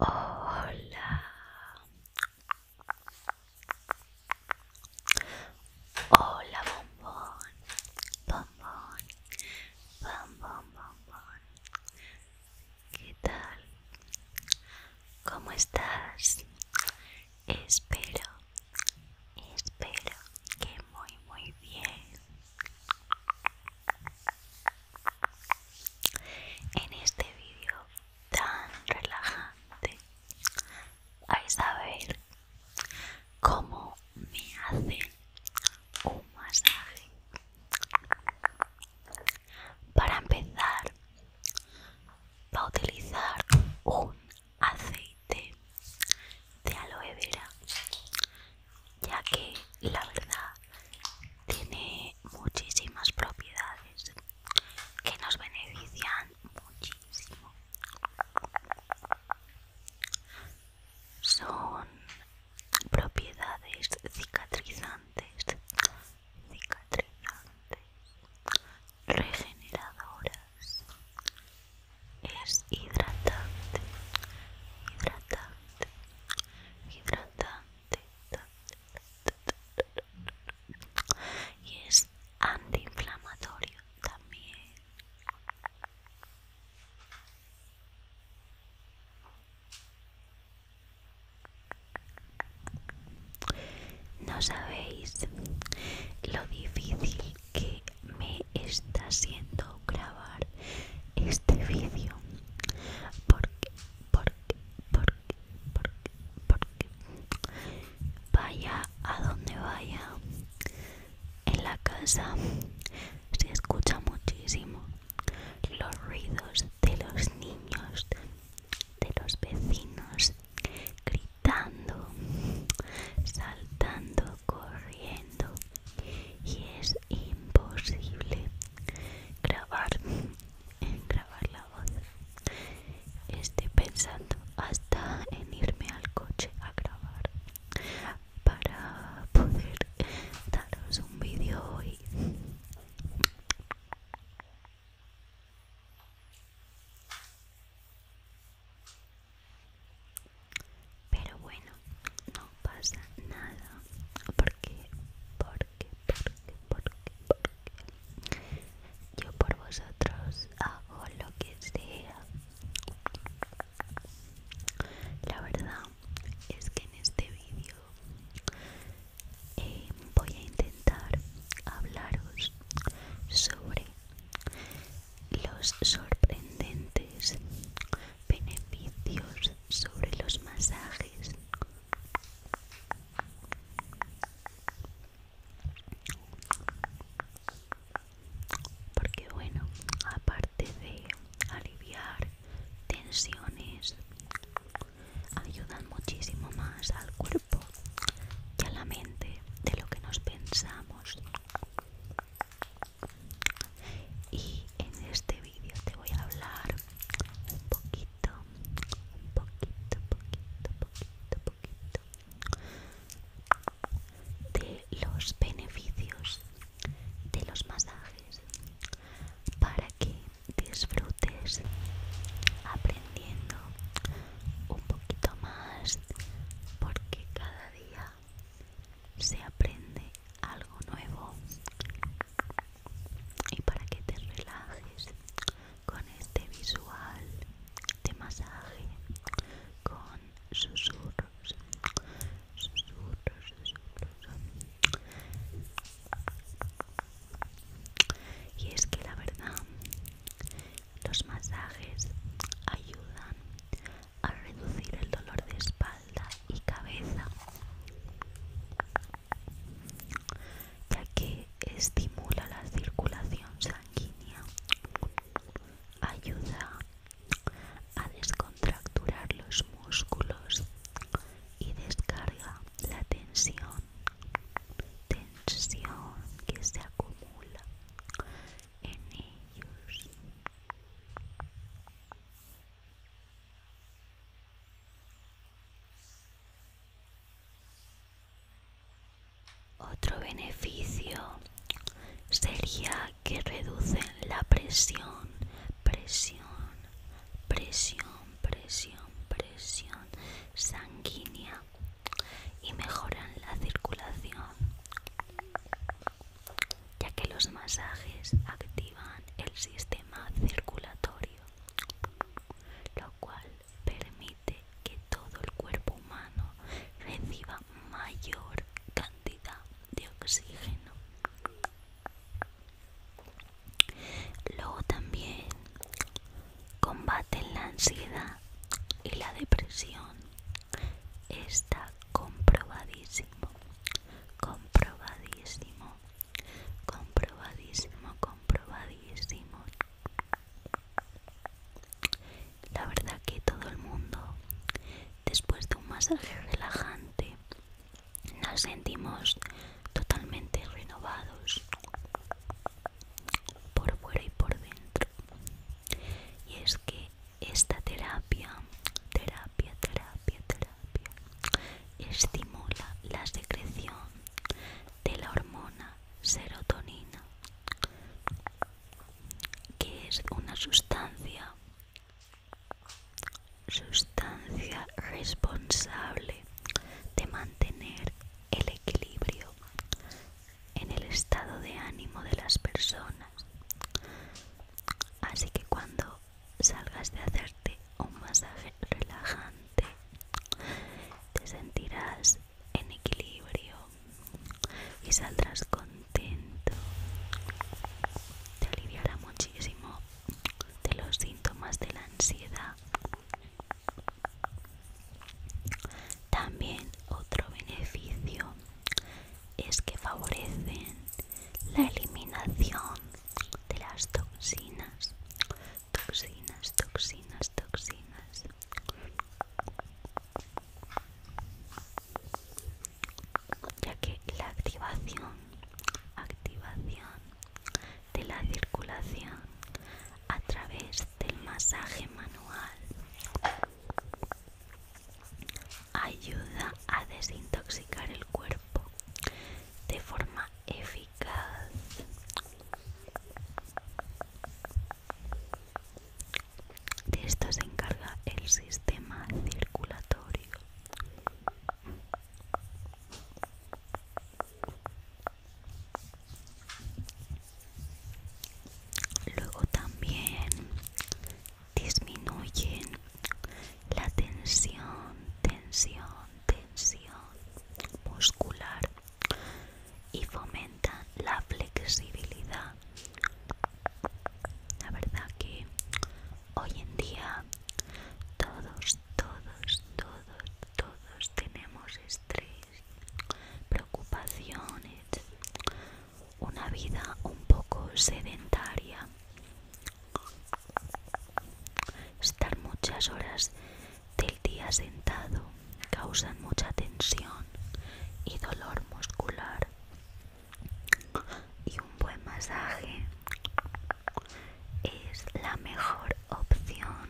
Hola. Hola, bombón. Bombón. Bombón, bombón. ¿Qué tal? ¿Cómo estás? Espero, espero que muy, muy bien. En este vídeo tan relajante vais a ver cómo me hace un masaje para empezar, va a utilizar un aceite de aloe vera, ya que la verdad tiene muchísimas propiedades que nos benefician muchísimo. Son propiedades cicatrizantes, cicatrizantes, regeneradoras, es hidratante, hidratante, hidratante y es antiinflamatorio también no sabéis lo difícil que me está siendo grabar este vídeo. Porque, porque, porque, porque, porque. Vaya a donde vaya. En la casa se escucha muchísimo los ruidos de los niños, de los vecinos, gritando, saltando, corriendo. Y es imposible grabar, grabar la voz. Estoy pensando hasta en irme al coche a grabar para poder daros un vídeo hoy pero bueno no pasa nada porque porque porque porque porque yo por vosotros hago lo que sea la verdad es que en este vídeo eh, voy a intentar hablaros sobre los sorprendentes beneficios sobre los masajes. Porque bueno, aparte de aliviar tensiones ayudan muchísimo más al cuerpo y a la mente de lo que nos pensamos y en este vídeo te voy a hablar un poquito un poquito poquito poquito poquito de los beneficios de los masajes para que disfrutes aprendiendo un poquito más porque cada día se aprende algo nuevo y para que te relajes con este visual de masaje con susurros y es que la verdad, los masajes ayudan a reducir el dolor de espalda y cabeza, ya que estimula la circulación sanguínea, ayuda a descontracturar los músculos y descarga la tensión, tensión que se acumula en ellos. Otro beneficio sería que reducen la presión, presión, presión, presión, presión sanguínea y mejoran la circulación, ya que los masajes activan el sistema circulatorio, lo cual permite que todo el cuerpo humano reciba mayor cantidad de oxígeno. Luego también combaten la ansiedad y la depresión. Está comprobadísimo, comprobadísimo, comprobadísimo, comprobadísimo. La verdad que todo el mundo Después de un masaje relajante, nos sentimos totalmente renovados por fuera y por dentro. Y es que esta terapia, terapia, terapia, terapia, estimula la secreción de la hormona serotonina, que es una sustancia Sustancia responsable de mantener el equilibrio en el estado de ánimo de las personas. Así que cuando salgas de hacerte un masaje relajante, te sentirás en equilibrio y saldrás contento. Te aliviará muchísimo de los síntomas de la ansiedad. También otro beneficio es que favorecen la eliminación de las toxinas, toxinas, toxinas, toxinas ya que la activación activación de la circulación a través del masaje manual ayuda a desintoxicar el cuerpo de forma eficaz de esto se encarga el sistema circulatorio. Luego también disminuyen la tensión, tensión, tensión muscular y fomentan la flexibilidad la verdad que hoy en día todos todos todos todos tenemos estrés preocupaciones una vida un poco sedentaria estar muchas horas del día sentado causan mucha tensión y dolor muscular y un buen masaje es la mejor opción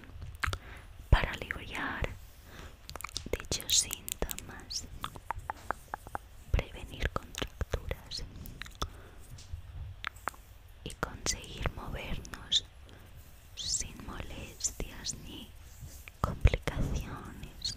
para aliviar dichos síntomas, prevenir contracturas y conseguir movernos sin molestias ni complicaciones.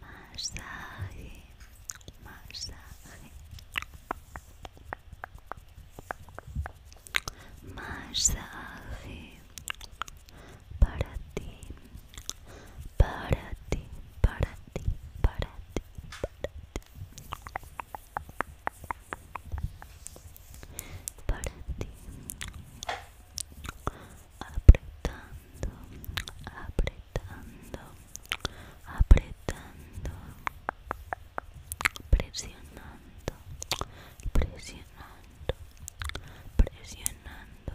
masaje, masaje, masaje para ti, para ti, para ti, para ti, para ti, para ti, apretando, apretando apretando, apretando, presionando, presionando, presionando,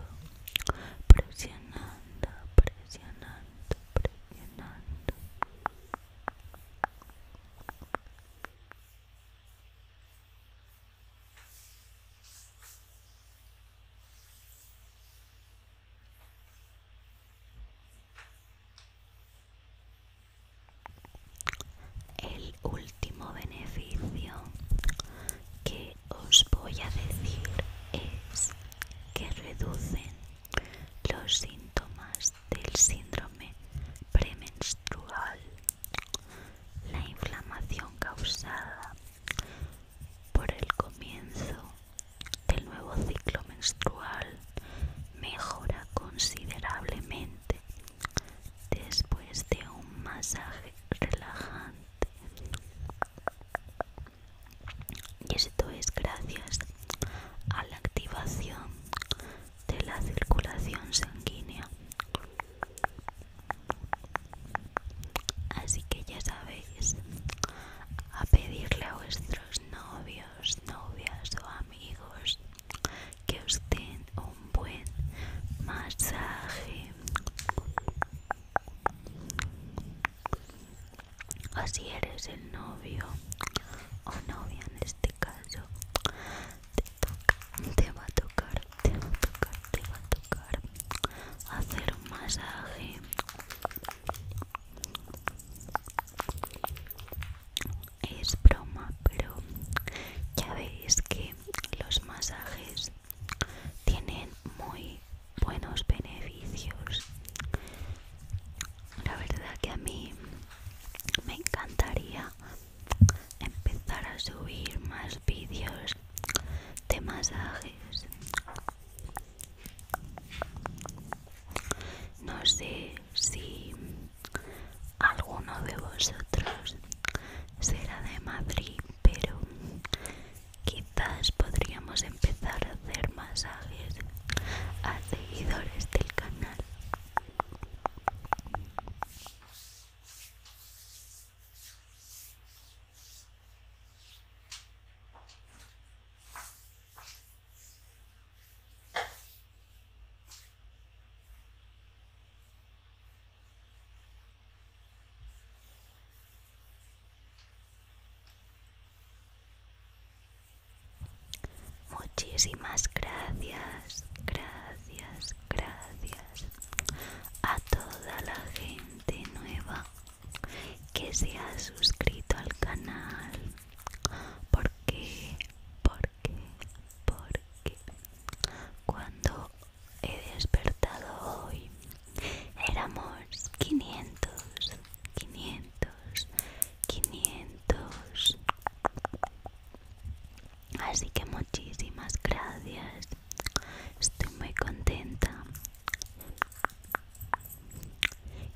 presionando, presionando, presionando. El último beneficio que os voy a decir es que reducen los síntomas del síndrome premenstrual, la inflamación causada por el comienzo el nuevo ciclo menstrual mejora considerablemente después de un masaje relajante. Y esto es gracias a la activación de la circulación sanguínea. Así que ya sabéis, a pedirle a vuestros novios, novias o amigos que os den un buen masaje. así eres el novio o novia en este caso, te, te va a tocar, te va a tocar, te va a tocar hacer un masaje es broma pero ya veis que los masajes tienen muy buenos beneficios la verdad que a mí me encantaría empezar a subir más vídeos de masajes no sé si alguno de vosotros será de Madrid, pero quizás podríamos empezar a hacer masajes a seguidores del canal. Muchísimas gracias, gracias, gracias a toda la gente nueva que se ha suscrito al canal porque porque porque cuando he despertado hoy éramos 500 500 500 así que muchísimas gracias Estoy muy contenta.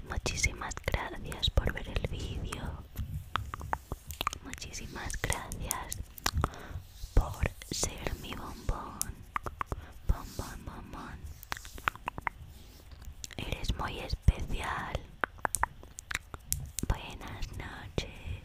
Muchísimas gracias por ver el vídeo. Muchísimas gracias por ser mi bombón. Bombón, bombón. Eres muy especial. Buenas noches.